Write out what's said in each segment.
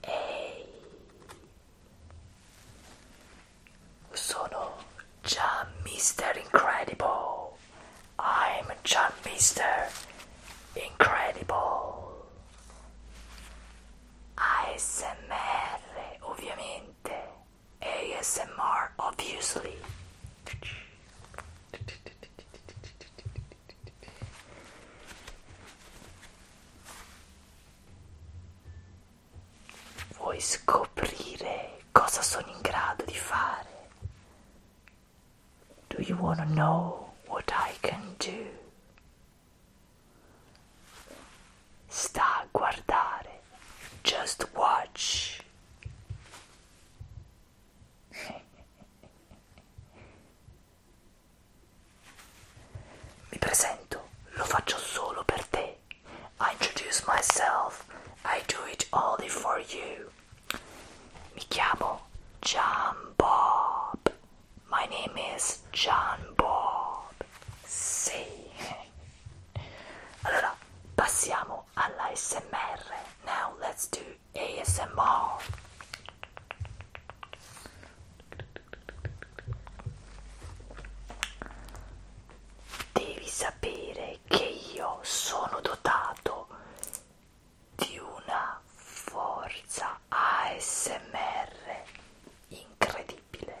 Ehi, sono John Mister Incredible. I'm John Mister Incredible. ASMR ovviamente ASMR obviously Vuoi scoprire cosa sono in grado di fare? Do you want to know what I can do? Sta a guardare, just watch. Mi presento, lo faccio solo per te. I introduce myself, I do it only for you. Mi chiamo Jump Bob. My name is John Bob. Sì. Allora, passiamo all'ASMR. Now let's do ASMR. Devi sapere che io sono dotato di una forza ASMR incredibile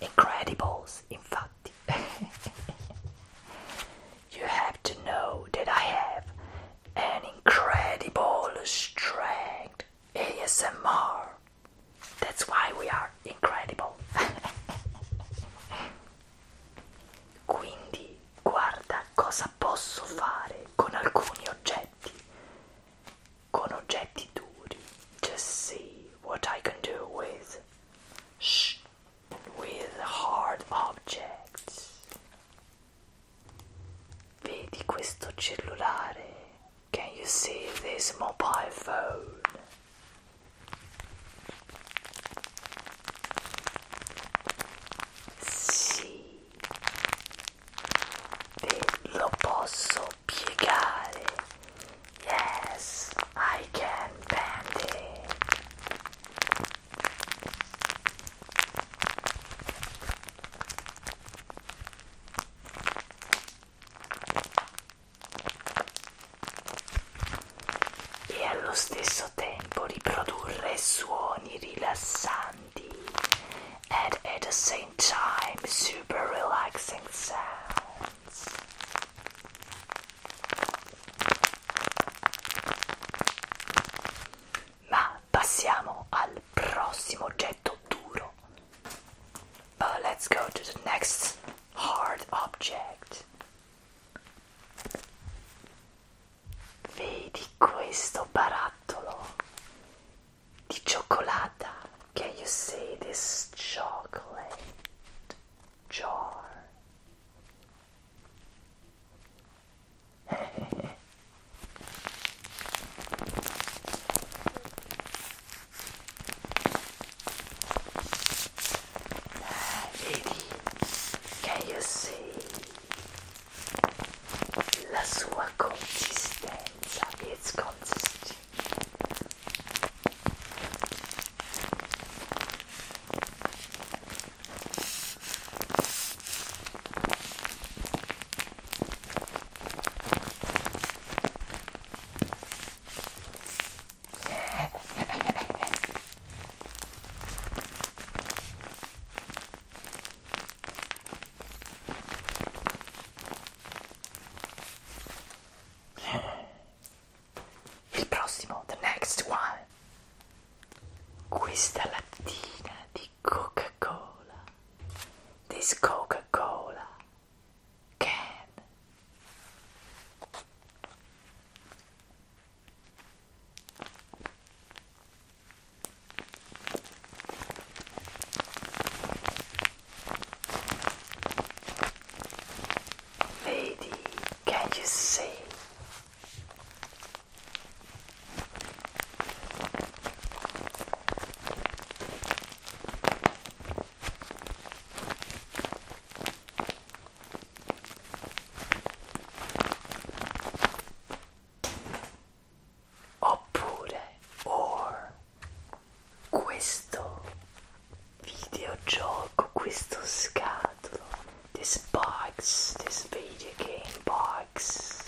incredibles fact, you have to know that i have an incredible strength asmr that's why we are incredible quindi guarda cosa posso fare con alcuni oggetti con oggetti duri. Just see what I can do with sh with hard objects. Vedi questo cellulare? Can you see this mobile phone? Sì, e lo posso piegare. Yes, I can bend it. E allo stesso tempo riprodurre suoni rilassanti candy and at the same time super relaxing sounds. Ma passiamo al prossimo oggetto duro. But oh, let's go to the next hard object. Vedi questo barattolo? The cioccolata. Can you see this chocolate jar? Lady, can you see la sua consistenza, its consistency. the next one. Questa lattina di Coca-Cola. This Coca-Cola can. Lady, can you see? oppure or questo videogioco, questo scatolo, this box, this video game box.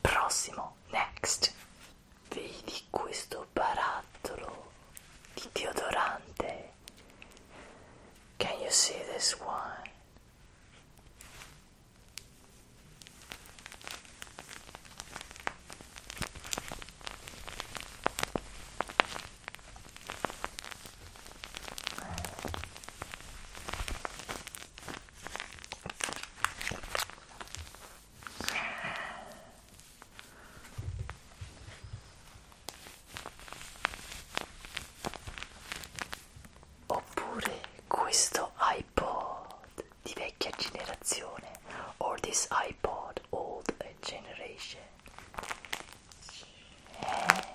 Prossimo, next. Vedi questo barattolo di deodorante? Can you see this one? Oppure questo iPod di vecchia generazione, or this iPod old generation. Eh,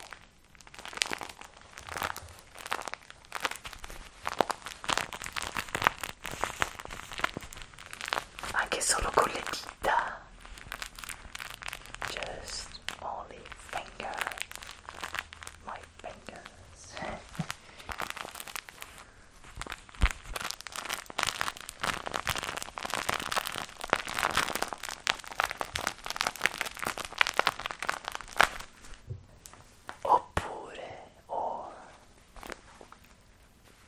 anche solo con le dita just only finger my fingers oppure ho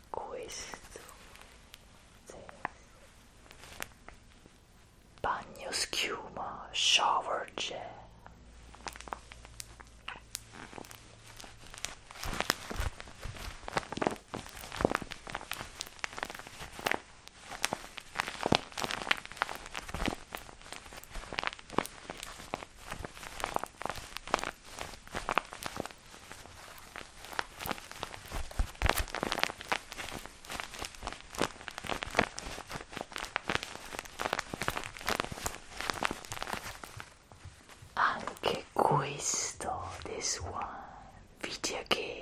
questo sì. bagno schiuma shower gel Anche questo, this one, video game.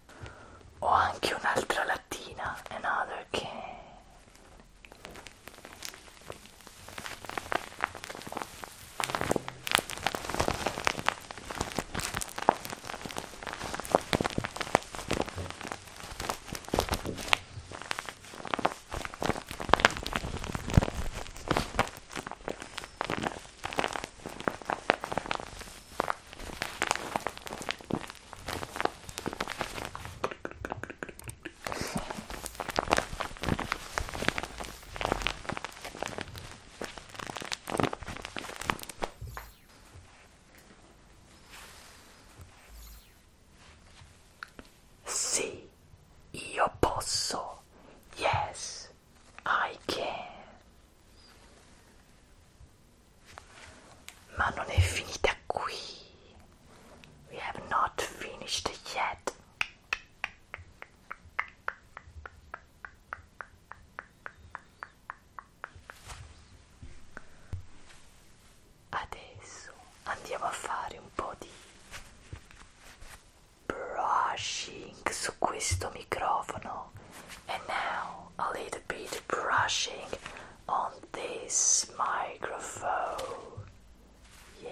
Ho anche un'altra lattina, another can. Sì, io posso. Yes, I can. Ma non è finita qui. We have not finished yet. Adesso andiamo a fare un po' di brushing su questo microfono And now a little bit brushing on this microphone. Yeah.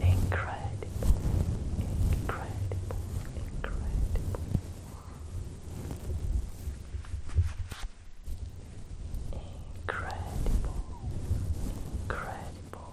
Incredible, incredible, incredible. Incredible, incredible.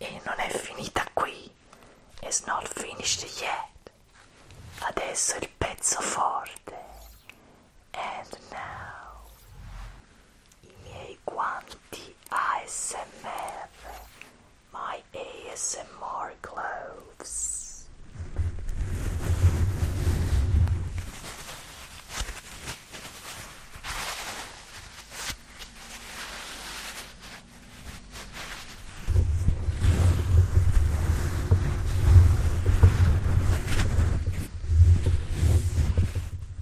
E non è finita qui. It's not finished yet. Adesso il pezzo forte. And now. i miei guanti ASMR, my ASMR gloves.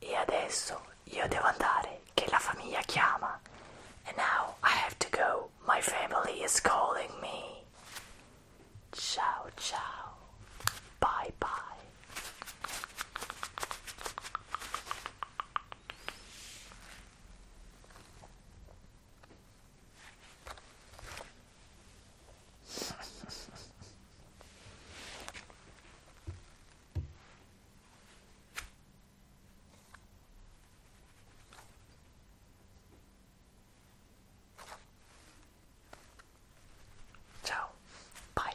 E adesso io devo andare, che la famiglia chiama. And now I have to go, my family is calling me. Ciao ciao, bye bye. Ciao, bye.